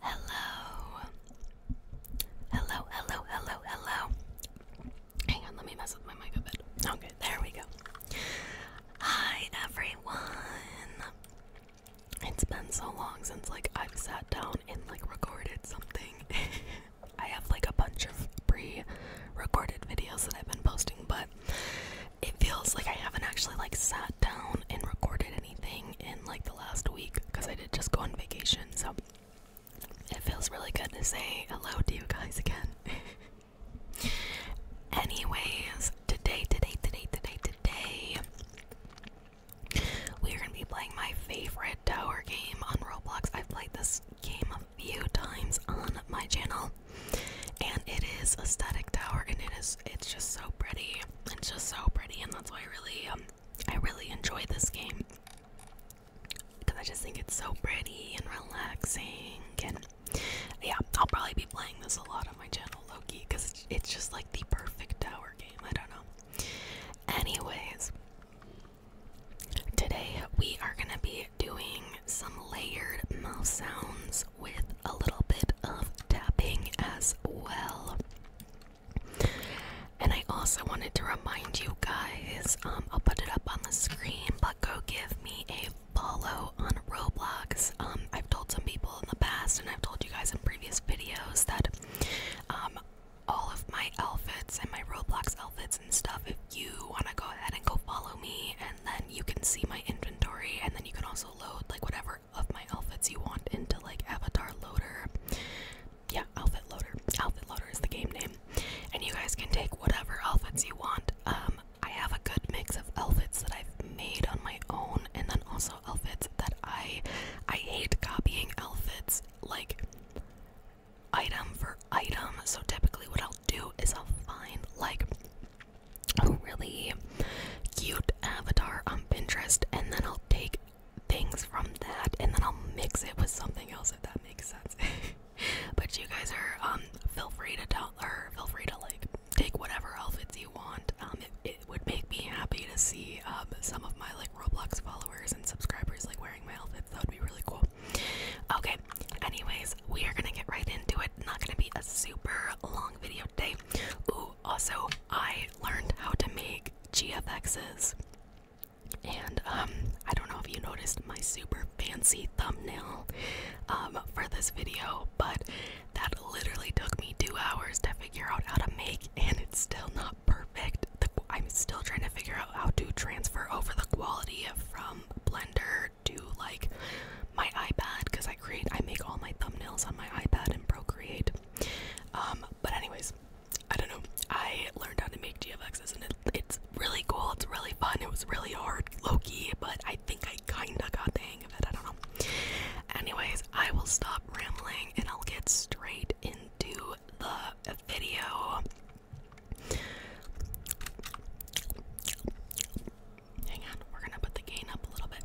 Hello. Hello, hello, hello, hello. Hang on, let me mess with my mic a bit. Okay, there we go. Hi, everyone. It's been so long since like I've sat down and like recorded something posting. I have like a bunch of pre recorded videos that I've been posting, but it feels like I haven't actually like sat down and recorded anything in like the last week because I did just go on vacation. So it feels really good to say hello to you guys again. Anyways, today, today, today, today, today, we are going to be playing my favorite tower game on Roblox. I've played this game a few times on my channel, and it is aesthetic tower, and it is it's just so pretty. It's just so pretty, and that's why I really um I really enjoy this game because I just think it's so pretty and relaxing. And yeah, I'll probably be playing this a lot on my channel, Loki, because it's just like the perfect tower game. I don't know. Anyways, today we are going to be doing some layered mouth sounds with a little bit of tapping as well. And I also wanted to remind you guys, um, I'll put it up on the screen, but go give me a follow on Roblox. Um, I've told some people in the past, and I've told you guys in previous videos that um, all of my outfits and my Roblox outfits and stuff if you want to go ahead and go follow me and then you can see my inventory and then you can also load like whatever of my outfits you want into like avatar loader. Yeah, outfit loader. Outfit loader is the game name. And you guys can take whatever outfits you want. Um I have a good mix of outfits that I've made on my own and then also also outfits that I I hate copying outfits like item for item. So typically what I'll do is I'll find like a really cute avatar on Pinterest and then I'll take things from that and then I'll mix it with something else if that makes sense. but you guys are um feel free to tell or feel free to like take whatever outfits you want. Um, it would make me happy to see um, some of my like Roblox followers and subscribers like wearing my outfits. That would be really cool. Okay, anyways, we are gonna get right into it. Not gonna be a super long video today. Ooh, also, I learned how to make GFXs. And um, I don't know if you noticed my super fancy thumbnail um, for this video, but that literally took me two hours to figure out how to make, and it's still not perfect. The, I'm still trying to figure out how to transfer over the quality from Blender to like my iPad because I create, I make all my thumbnails on my iPad and Procreate. Um, but anyways, I don't know. I learned how to make GFXs and it's really cool. It's really fun. It was really hard, Loki, but I think I kinda got the hang of it. I don't know. Anyways, I will stop rambling and I'll get straight in. Do the video. Hang on, we're gonna put the gain up a little bit.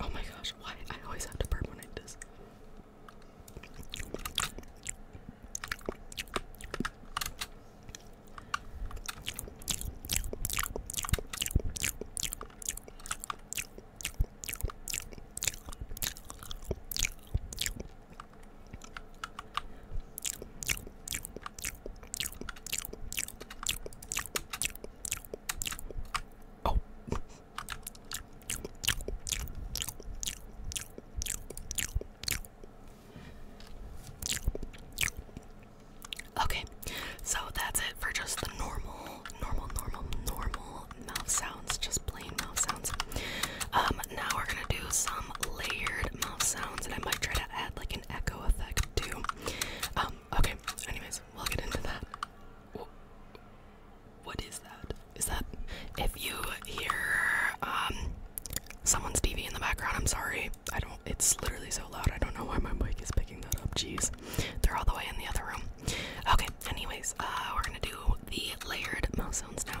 Oh my gosh, why? I always have to burp when I do this. Oh. Okay, so that's it for just the normal, normal, normal, normal mouth sounds, just plain mouth sounds. Um, now we're gonna do some layered mouth sounds, and I might try to add like an echo effect too. Um, okay, anyways, we'll get into that. What is that? Is that if you hear um, someone's TV in the background, I'm sorry. I don't it's literally so loud. I don't know why my mic is picking that up. Jeez. They're all the way in the other room. Okay, anyways, uh, we're gonna do the layered mouse sounds now.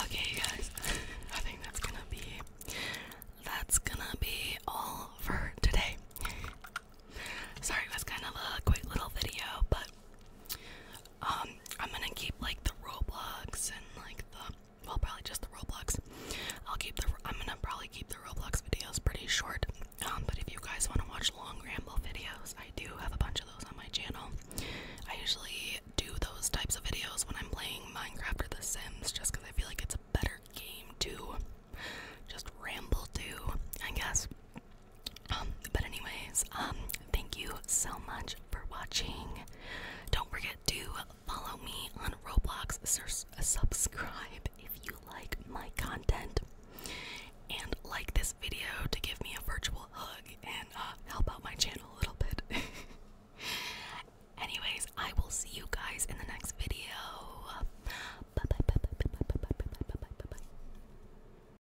Okay, guys, I think that's gonna be that's gonna be all for today. Sorry, it was kind of a quick little video, but um, I'm gonna keep like the Roblox and like the well, probably just the Roblox. I'll keep the I'm gonna probably keep the Roblox videos pretty short. Um, but if you guys want to watch long ramble videos, I do have a bunch of those on my channel. I usually do those types of videos when I'm playing Minecraft or The Sims, just because I feel like it's a better game to just ramble to, I guess. Um, but anyways, um, thank you so much for watching. Don't forget to follow me on Roblox. Subscribe if you like my content, and like this video to give me a virtual hug and uh, help out my channel a little bit. Anyways, I will see you guys in the next video. Bye bye bye bye bye bye bye bye bye bye bye.